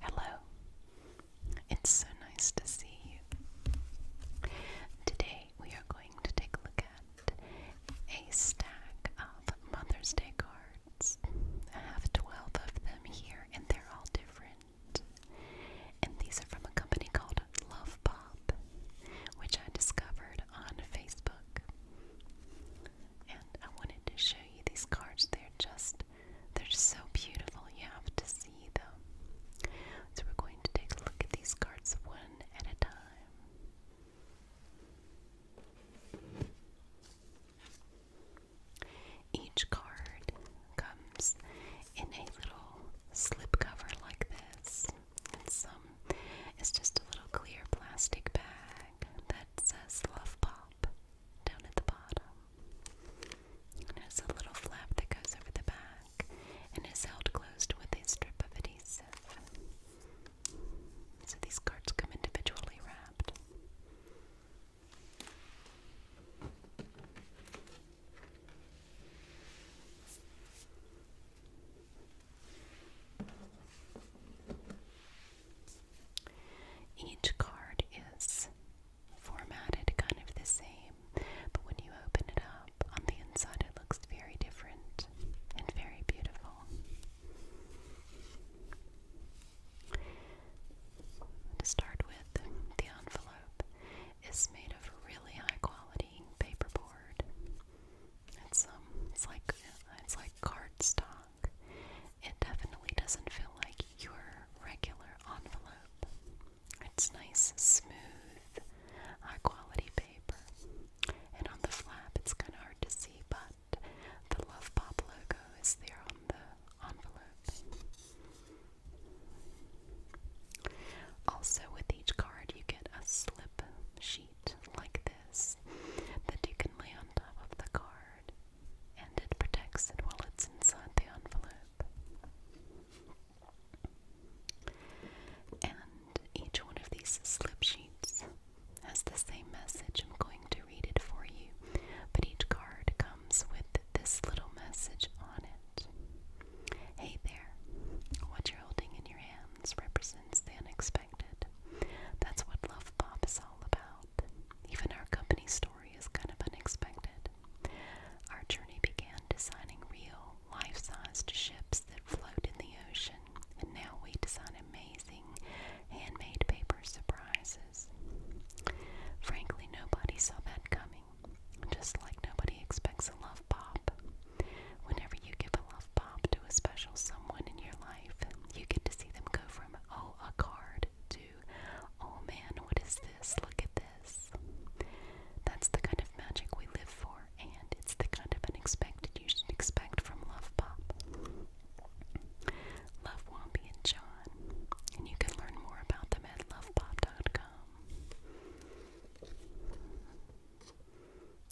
Hello. It's so nice to see you. Today we are going to take a look at a stack of Mother's Day cards. I have 12 of them here and they're all different. And these are from a company called Love Pop, which I discovered on Facebook and I wanted to show you these cards. They're just they're just so beautiful. You have to see them. So we're going to take a look at these cards one at a time. Each card comes in a little slip cover like this, and some is just a little clear plastic bag that says Love Pop top, down at the bottom. And has a little flap that goes over the back and is held closed with a strip of adhesive. So these cards come individually wrapped. Each card is formatted kind of the same, but when you open it up, on the inside it looks very different and very beautiful. To start with, the envelope is made of really high quality paperboard. It's um, it's like it's like cardstock. It definitely doesn't feel like your regular envelope. It's nice, smooth, high quality paper. And on the flap, it's kind of hard to see, but the Love Pop logo is there on the envelope. Also, with each card, you get a slip sheet like this that you can lay on top of the card and it protects it while it's inside the envelope. And each one of these slip sheets has the same message. I'm going to read it for you, but each card comes with this little message on it. Hey there, what you're holding in your hands represents the unexpected. That's what Love Pop is all about. Even our company's is kind of unexpected. Our journey began designing real, life sized ships that float in the ocean, and now we design amazing handmade paper surprises. Frankly, nobody saw that coming, just like nobody expects a love pop. Whenever you give a love pop to a special someone in your life, you get to see them go from, oh, a card to oh man, what is this? Look at this. That's the kind of magic we live for, and it's the kind of unexpected you should expect from Love Pop. Love Wompy and John, and you can learn more about them at lovepop.com.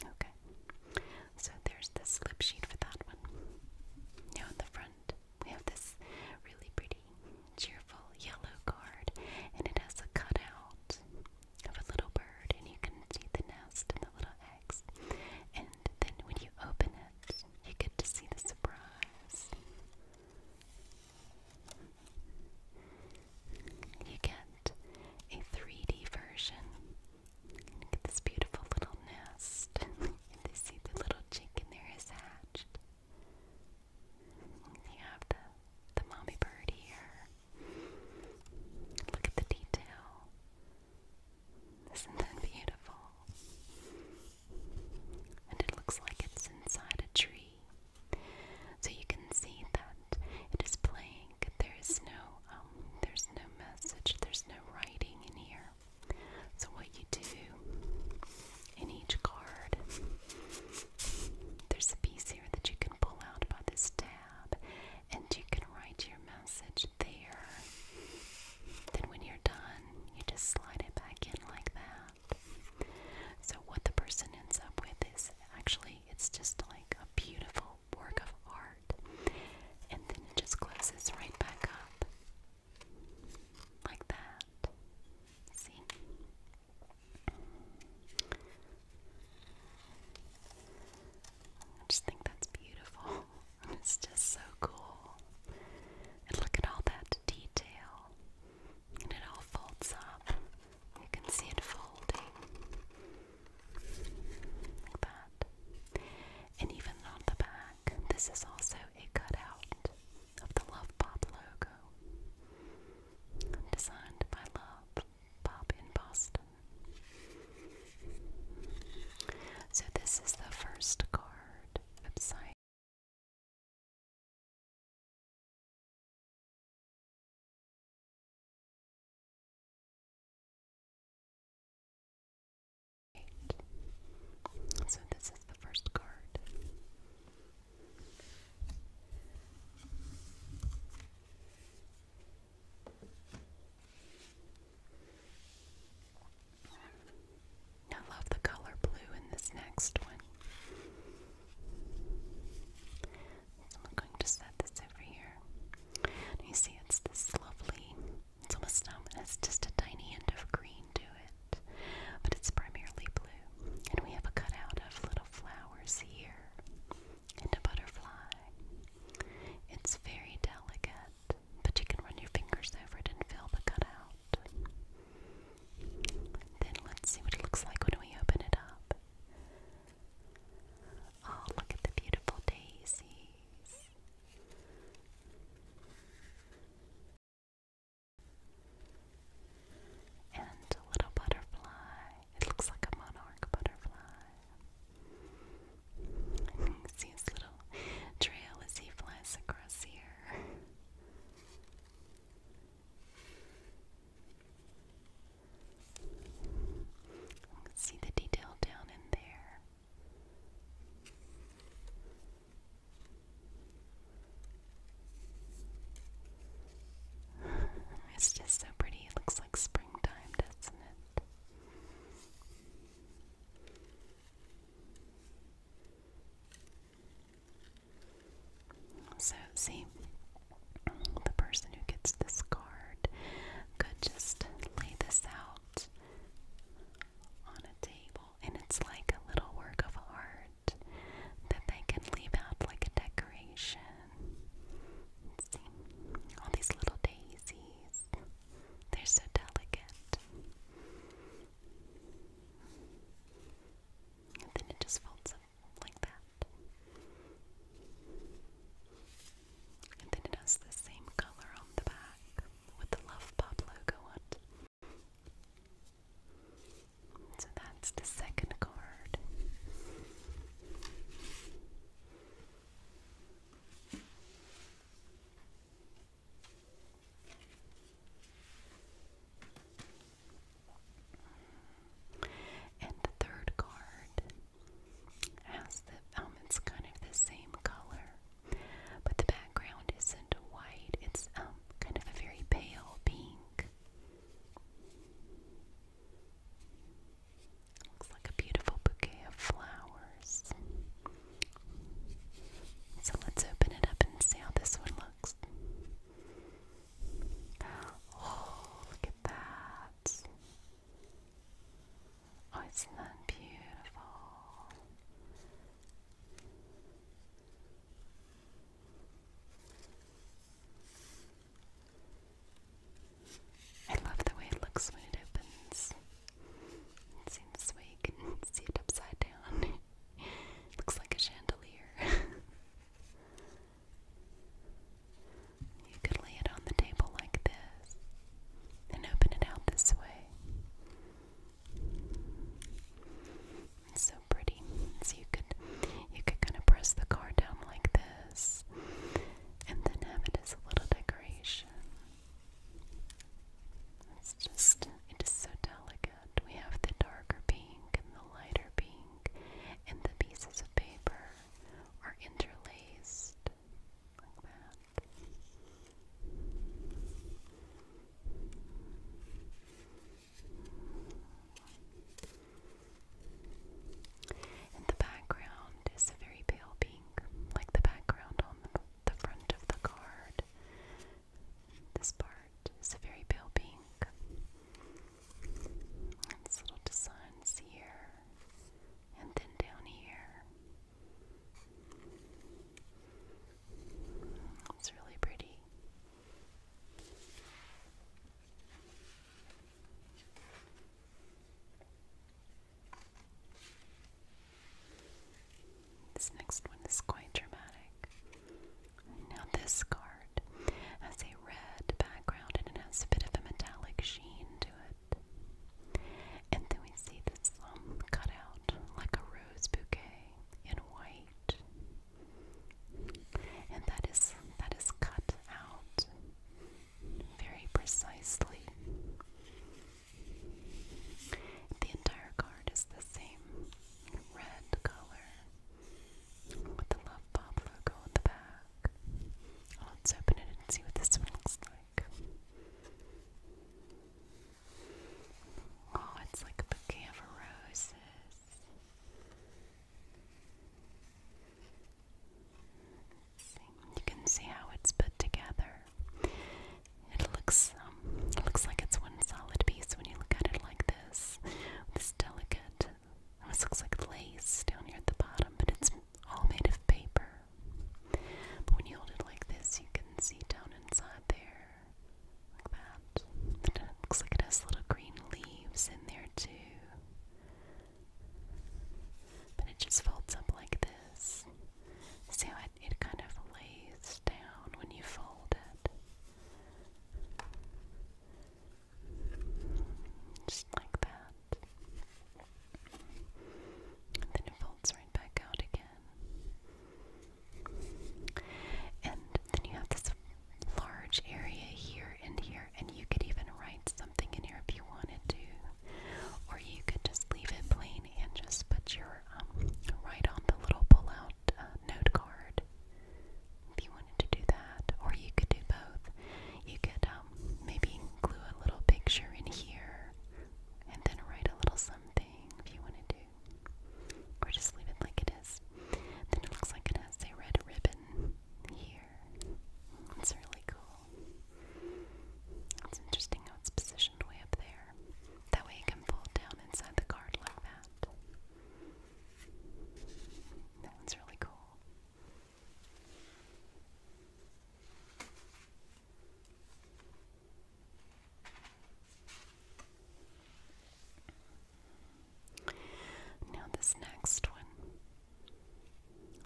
Okay, so there's the slip sheet for that one. Now the front, we have this really pretty, cheerful yellow card, and it has a cutout of a little bird, and you can see the nest and the little eggs. And then when you open it, you get to see the surprise. You get a 3D version. You this beautiful little nest. And they see the little chick there is hatched. You have the the mommy bird here. Look at the detail. Isn't that beautiful? And it looks like it's inside a tree. So you can see that it is blank. There's no um there's no message, there's no writing in here. So, what you do in each card, there's a piece here that you can pull out by this tab, and you can write your message there. Then, when you're done, you just slide it back in like that. So, what the person ends up with is actually, it's just like a beautiful work of art, and then it just closes right back up. Like that. See? I just think that's beautiful. It's just so cool. And look at all that detail. And it all folds up. You can see it folding. Like that. And even on the back, this is also a cutout of the Love logo, designed by Love in Boston. So, this is the first card Right. So this is the first card. I love the color blue in this next one. So I'm going to set this over here. you see, it's this lovely it's almost um, it's just a tiny hint of green to it, but it's primarily blue. And we have a cutout of little flowers here and a butterfly. It's very delicate, but you can run your fingers over it and feel the cutout. Then let's see what it looks like when we open it up. Oh, look at the beautiful daisies. And a little butterfly. It looks like a monarch butterfly. see his little trail as he flies across here. see the detail down in there. It's just so pretty. It looks like springtime, doesn't it? So, see, the person who gets this card could just lay this out on a table and it's like a little work of art that they can leave out like a decoration. all these little daisies. They're so delicate. And then it just folds up like that. And then it has the same color on the back with the Love logo on it. So that's the second card. And the third card has the um it's kind of the same color but the background isn't white, it's um, kind of a very pale pink. Looks like a beautiful bouquet of flowers. So let's open it up and see how this one looks. Oh, look at that. Oh, isn't that beautiful? I love the way it looks when it opens. It seems this you can see it upside down. looks like a chandelier. you could lay it on the table like this and open it out this way. It's so pretty. So you could you could kind of press the card down like this and then have it as a little decoration. It's just it is so delicate. We have the darker pink and the lighter pink and the pieces of paper are interlaced like that the background is a very pale pink, like the background on the, front of the card. This part is a very pale pink. It's little designs here and then down here. It's really pretty. This next one is quite dramatic. Now, this card has a red background and it has a bit of a metallic sheen to it. And then we see this um, cutout, like a rose bouquet in white. And that is that is cut out very precisely. The entire card is the same red color with the Love logo on the back. Let's open it and see what this one looks like. Oh, it's like a bouquet of roses. See, you can see how it's put together. It looks, um, looks like it's one solid piece when you look at it like this. This delicate, this looks like lace down here at the bottom, but it's all made of paper. But when you hold it like this, you can see down inside there like that. it looks like it has little green leaves in there too. But it just folds up like this. See how it, kind of lays down when you fold it? Just like that. then it folds right back out again. And then you have this large area here and here, and you could even write something in here if you wanted to. Or you could just leave it plain and just put your, um, write on the little pull-out uh, note card if you wanted to do that. Or you could do both. You could um, maybe glue a little picture in here and then write a little something if you want to do or just leave it like it is. Then it looks like it has a red ribbon here. It's really cool. It's interesting how it's positioned way up there. That way it can fold down inside the card like that. That one's really cool. Now, this next one,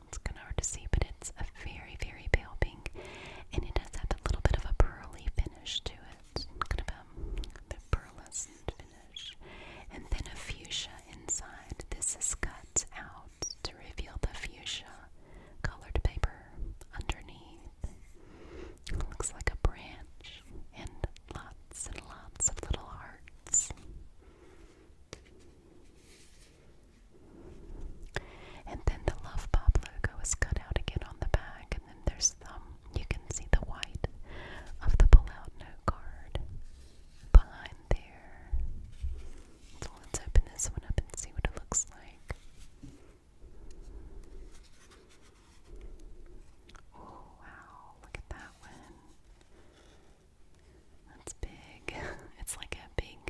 it's kind of hard to see, but it's a very, very pale pink, and it does have a little bit of a pearly finish to it, kind of a, pearlescent finish, and then a fuchsia inside. This is cut out to reveal the fuchsia colored paper underneath. It looks like a branch and lots and lots of little hearts. And then the Love Pop logo is cut out again on the back, and then there's um you can see the white of the pull-out note card behind there. So let's open this one up and see what it looks like. Oh wow, look at that one. That's big. It's like a big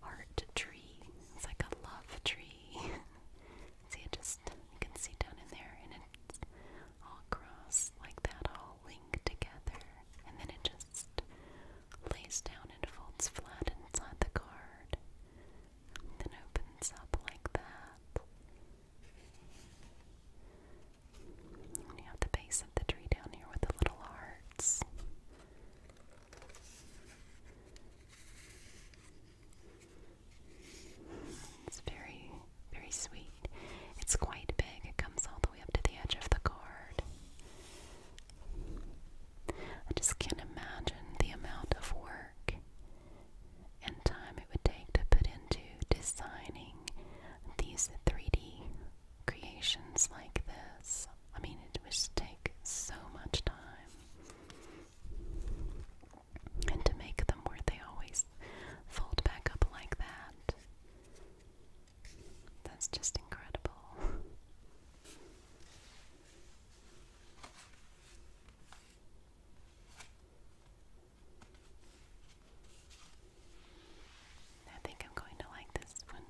heart tree. It's like a love tree. see it just you can see down in there and it's all crossed like that, all linked together. And then it just lays down and folds flat inside the card then opens up like that. you have the base of the tree down here with the little hearts. It's very, very sweet. It's quite big, it comes all the way up to the edge of the card. I just can't imagine the amount of work and time it would take to put into designing these 3D creations like this. I mean, it would just take so much time. And to make them where they always fold back up like that. That's just incredible. I think I'm going to like this one.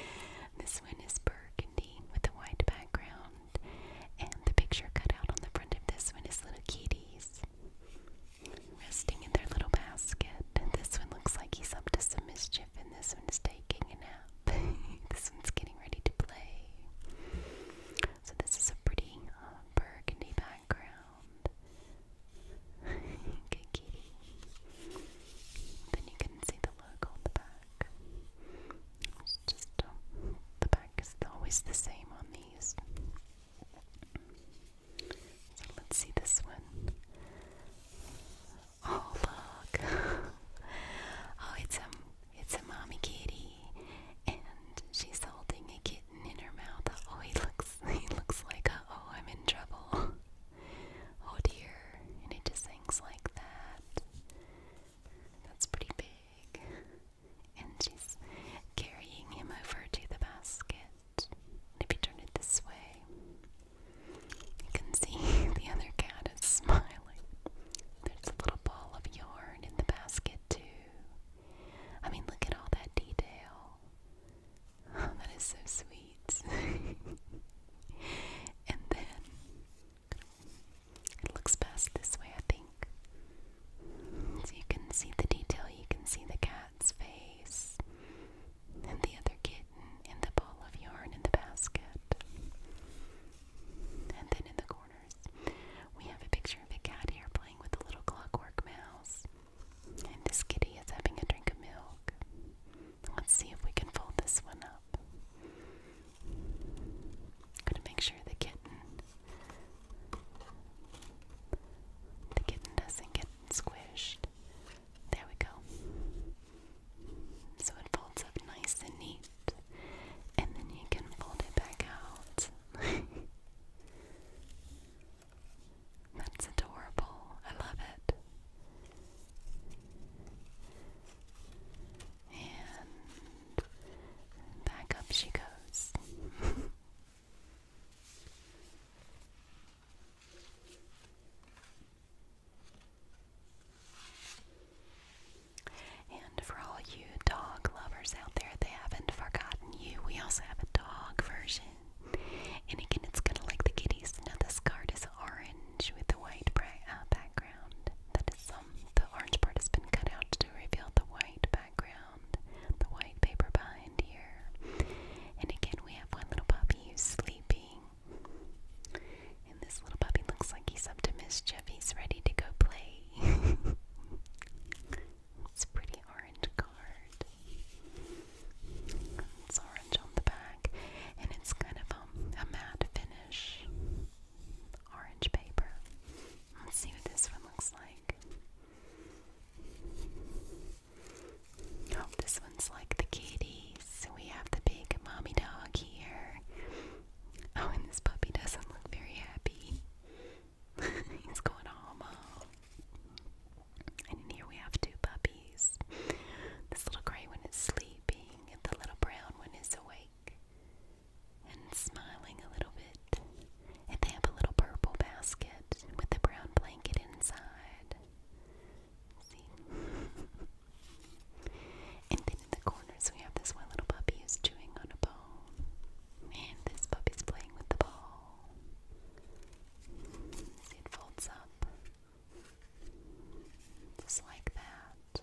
this one is burgundy with a white background, and the picture cut out on the front of this one is little kitties resting in their little basket. And this one looks like he's up to some mischief, and this one is taking a nap. this one's getting ready to play. So this is a pretty uh, burgundy background. Good kitty. Then you can see the logo on the back. just uh, the back is always the same on these. let's see this one. Oh look! oh, it's um it's a mommy kitty, and she's holding a kitten in her mouth. Oh, he looks, he looks like, oh, I'm in trouble. Oh dear, and it just hangs like that. That's pretty big. And she's carrying him over to the basket. Maybe turn it this way. You can see the other cat is smiling. There's a little ball of yarn in the basket, too. I mean, look at all that detail. Oh, that is so sweet. and then it looks best this way, I think. So you can see the detail, you can see the cat's face, and the other kitten, and the ball of yarn in the basket. And then in the corner, we have a picture of a cat here playing with a little clockwork mouse. And this kitty is having a drink of milk. Let's see if we can fold this one up. I'm gonna make sure the kitten the kitten doesn't get squished. There we go. So it folds up nice and neat and then you can fold it back out. That's adorable. I love it. And back up she goes. And for all you dog lovers out there, they haven't forgotten you. We also have a dog version. And again, it's kind of like the kitties. Now, this card is orange with the white uh, background. That is, um, the orange part has been cut out to reveal the white background, the white paper behind here. And again, we have one little puppy who's sleeping. And this little puppy looks like he's up to mischief. He's ready to go play. it's a pretty orange card. It's orange on the back, and it's kind of um, a matte finish. Orange paper. Let's see what this one looks like. Oh, this one's like the kitties. We have the big mommy dog here. Oh, and this puppy doesn't look very happy. He's going home, And in here we have two puppies. This little gray one is sleeping, and the little brown one is awake and smiling a little bit. And they have a little purple basket with a brown blanket inside. See? and then in the corners we have this one little puppy who's chewing on a bone. And this puppy's playing with the ball. it folds up. Just like that.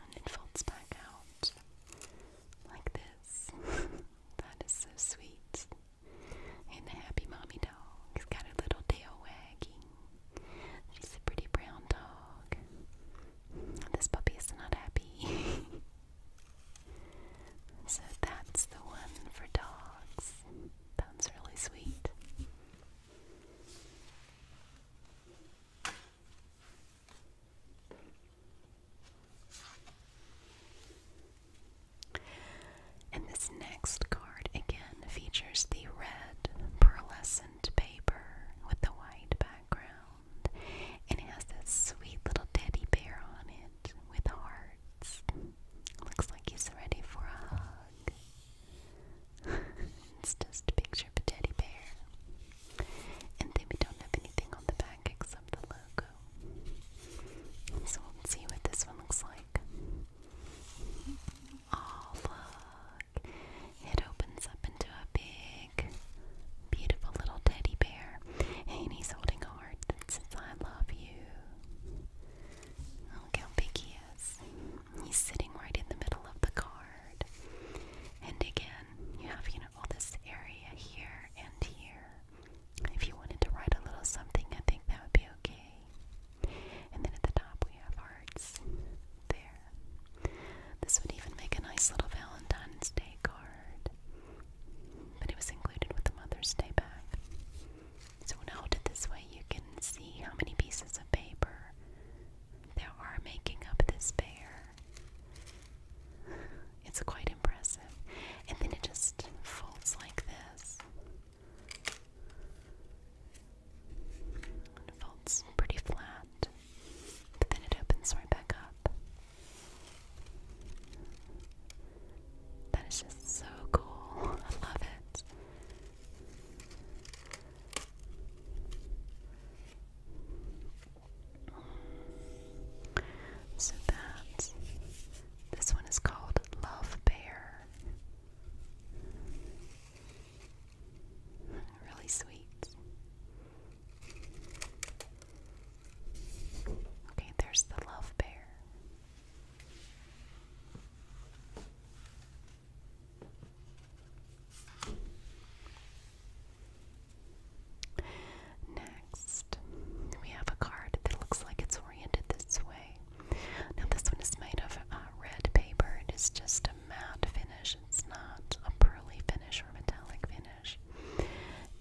And it folds back out. Like this. that is so sweet. And the happy mommy dog has got a little tail wagging. She's a pretty brown dog. This puppy is not happy. so that's the one for dogs. That's really sweet. And this next card again features the red pearlescent paper with the white background and it has this sweet little teddy bear on it with hearts. Looks like he's ready for a hug. it's just a picture of a teddy bear. And then we don't have anything on the back except the logo. So we'll see what this one looks like. Oh, it opens up into a big, beautiful little teddy bear, and he's holding a heart that says, I love you. Look how big he is. He's sitting right in the middle of the card. And again, you have, you know, all this area here and here. If you wanted to write a little something, I think that would be okay. And then at the top we have hearts there. This would even make a nice little Valentine's Day card. But it was included with the Mother's Day bag. So when I hold it this way, you can see how many pieces of paper there are making up this bear. It's quite impressive. And then it just folds like this. folds pretty flat. But then it opens right back up. That is just so cool. I love it. So that this one is called Love Bear really sweet. Okay, there's the love bear. Next, we have a card that looks like it's oriented this way. Now, this one is made of uh, red paper. It is just a matte finish. It's not a pearly finish or metallic finish.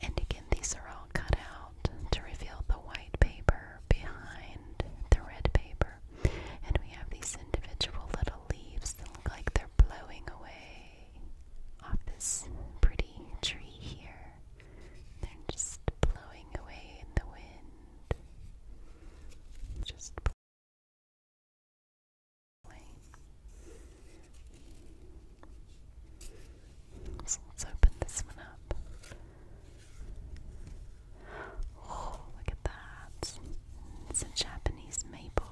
And again, these are all cut out to reveal the white paper behind the red paper. And we have these individual little leaves that look like they're blowing away off this pretty tree here. They're just blowing away in the wind. Just so let's open this one up. Oh, look at that. It's a Japanese maple.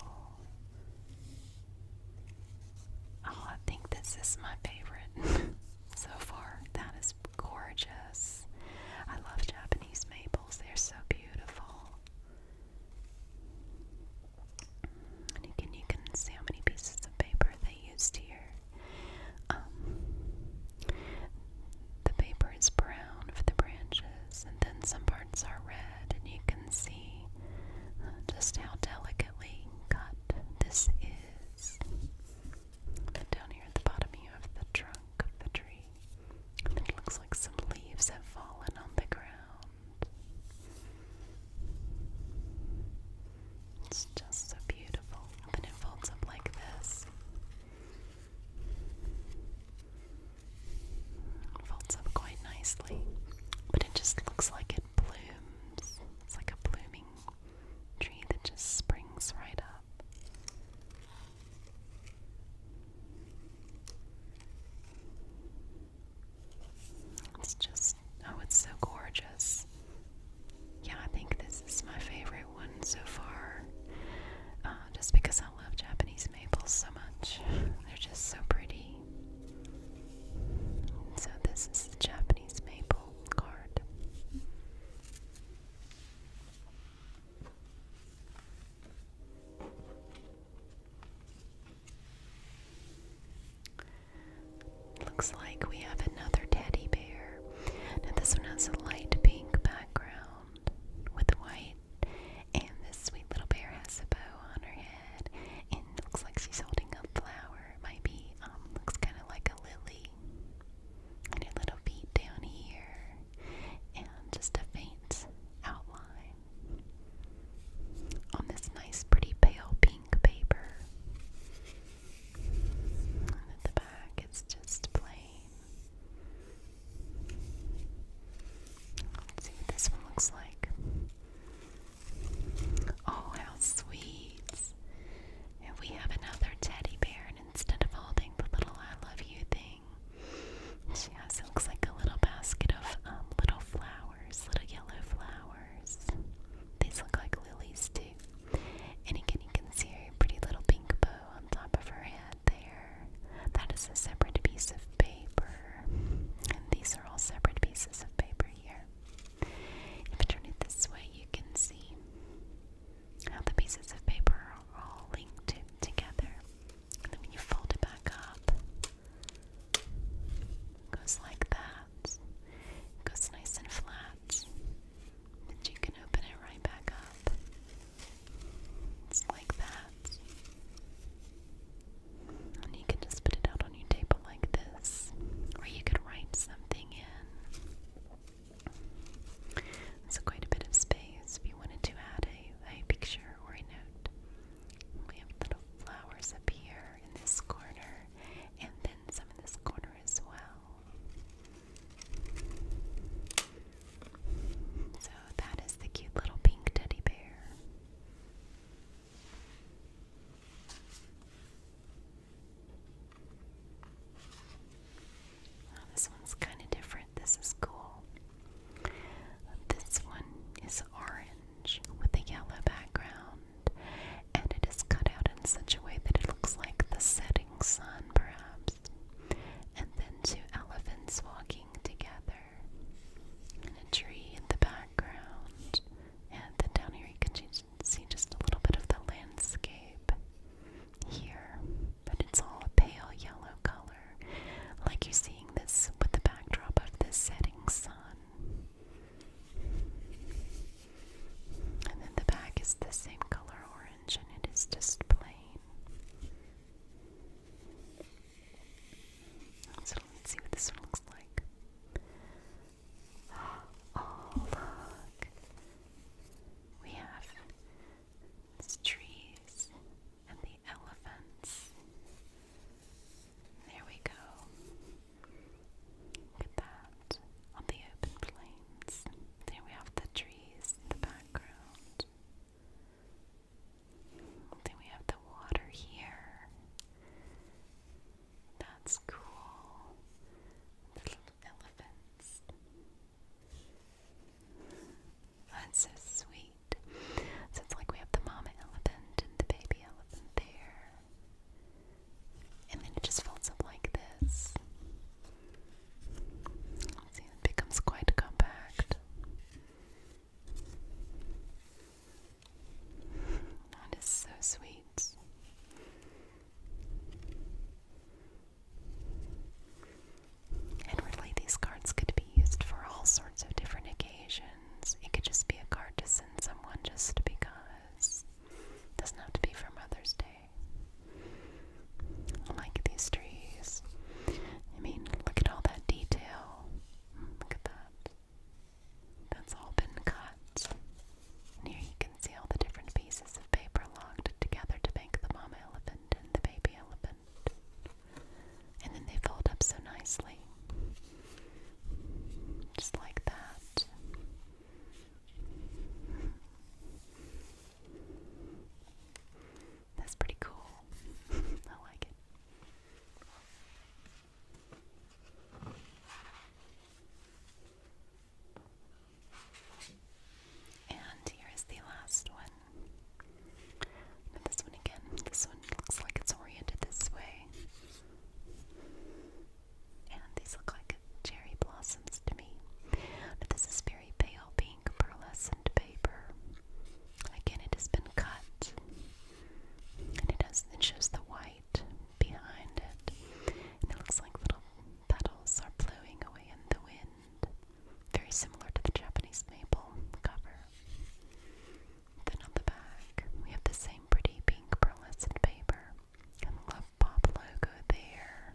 Oh, I think this is my favorite so far. That is gorgeous. I love Japanese maples, they're so beautiful. And can you can see how many pieces of paper they used here. Um, the paper is brown for the branches, and then some parts are red, and you can see uh, just how delicately cut this is. down here at the bottom, you have the trunk of the tree. it looks like some leaves have fallen on the ground. It's just so beautiful. And it folds up like this. folds up quite nicely. But it just looks like it blooms. It's like a blooming tree that just springs right up. It's just, oh, it's so gorgeous. Yeah, I think this is my favorite one so far. Uh, just because I love Japanese maples so much. They're just so pretty. So, this is the Japanese maple card. Looks like we have another teddy bear. Now, this one has a light pink background with white, and this sweet little bear has a bow on her head, and looks like she's holding a flower. It might be, um, looks kind of like a lily. And her little feet down here, and just a faint outline on this nice, pretty pale pink paper. And at the back, it's just plain. Let's see what this one looks like. Oh, how sweet! And we have another teddy bear, and instead of holding the little I love you thing, she it looks like a little basket of um, little flowers, little yellow flowers. These look like lilies too. And again, you can see her pretty little pink bow on top of her head there. That is a separate piece of paper. And these are all separate pieces of paper here. If I turn it this way, you can see how the pieces of paper are all linked together. And then when you fold it back up, Goes like that. Goes nice and flat. And you can open it right back up. It's like that. And you can just put it out on your table like this. Or you could write something in. It's quite a bit of space if you wanted to add a, a picture or a note. We have little flowers up here in this corner, and then some in this corner as well. So that is the cute little pink teddy bear. this one's kind of different. This is cool. This one is orange with a yellow background, and it is cut out in such a way that it looks like the setting sun, perhaps. And then two elephants walking together, and a tree in the background. And then down here you can see just a little bit of the landscape here, but it's all a pale yellow color, like you're seeing this with the backdrop of the setting sun. And then the back is the same color orange and it is just plain. So let's see what this one looks like. Oh, look! We have these trees and the elephants there we go. Look at that. On the open plains. There we have the trees in the background. Then we have the water here. That's cool. The little elephants. That's so sweet. So it's like we have the mama elephant and the baby there. And then it just folds up like this. See, it becomes quite compact. That is so sweet. And really, these cards could be used for all sorts of different occasions. It could just be a card to send someone just because. doesn't have to be for Mother's Day. like these trees. I mean, look at all that detail. Look at that. That's all been cut. here you can see all the different pieces of paper locked together to make the mama elephant and the baby elephant. And then they fold up so nicely. Just like that. That's pretty cool. I like it. And here is the last one. this one again. This one looks like it's oriented this way. And these look like cherry blossoms to me. Now this is very pale pink pearlescent paper. Again, it has been cut. And it has it shows the white behind it. And it looks like little petals are blowing away in the wind. Very similar to the Japanese maple cover. Then on the back, we have the same pretty pink pearlescent paper. And the logo there.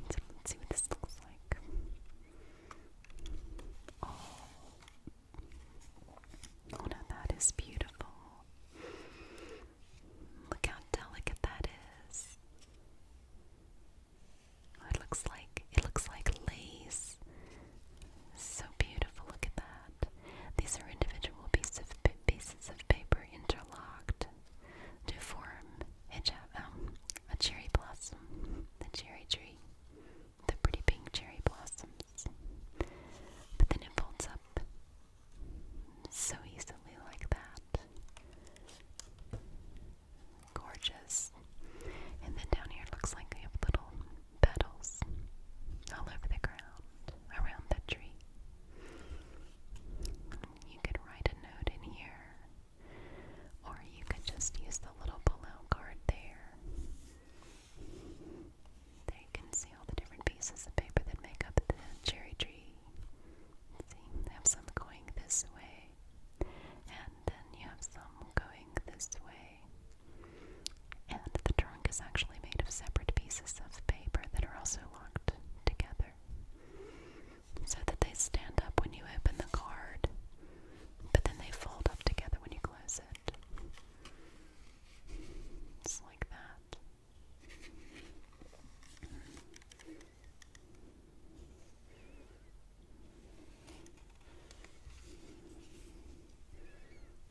let's see what this looks like. Oh, oh no, that is beautiful. Look how delicate that is. Oh, it looks like it looks like lace. So beautiful, look at that. These are individual pieces of, paper interlocked to form um, a cherry blossom, the cherry tree, the pretty pink cherry blossoms. But then it folds up so easily like that. Gorgeous. And then down here looks like we have little petals all over the ground, around the tree. You could write a note in here, or you could just use the little pull card there. There can see all the different pieces of paper that make up the cherry tree. See, have some going this way, and then you have some going this way. And the trunk is actually made of separate pieces of paper that are also locked together so that they stand up when you open the card, but then they fold up together when you close it. Just like that.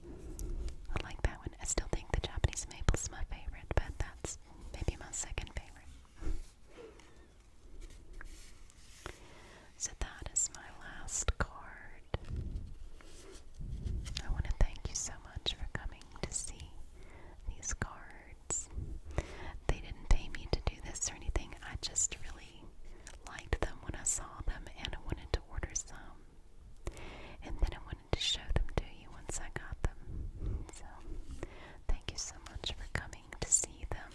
I like that one. I still think the Japanese maple is my favorite, but that's maybe my second favorite. so that is my last card. I want to thank you so much for coming to see these cards. They didn't pay me to do this or anything. I just really liked them when I saw them and I wanted to order some. And then I wanted to show them to you once I got them. So, thank you so much for coming to see them.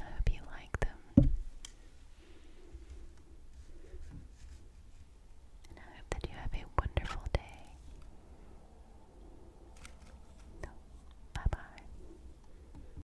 I hope you like them. And I hope that you have a wonderful day. Bye bye.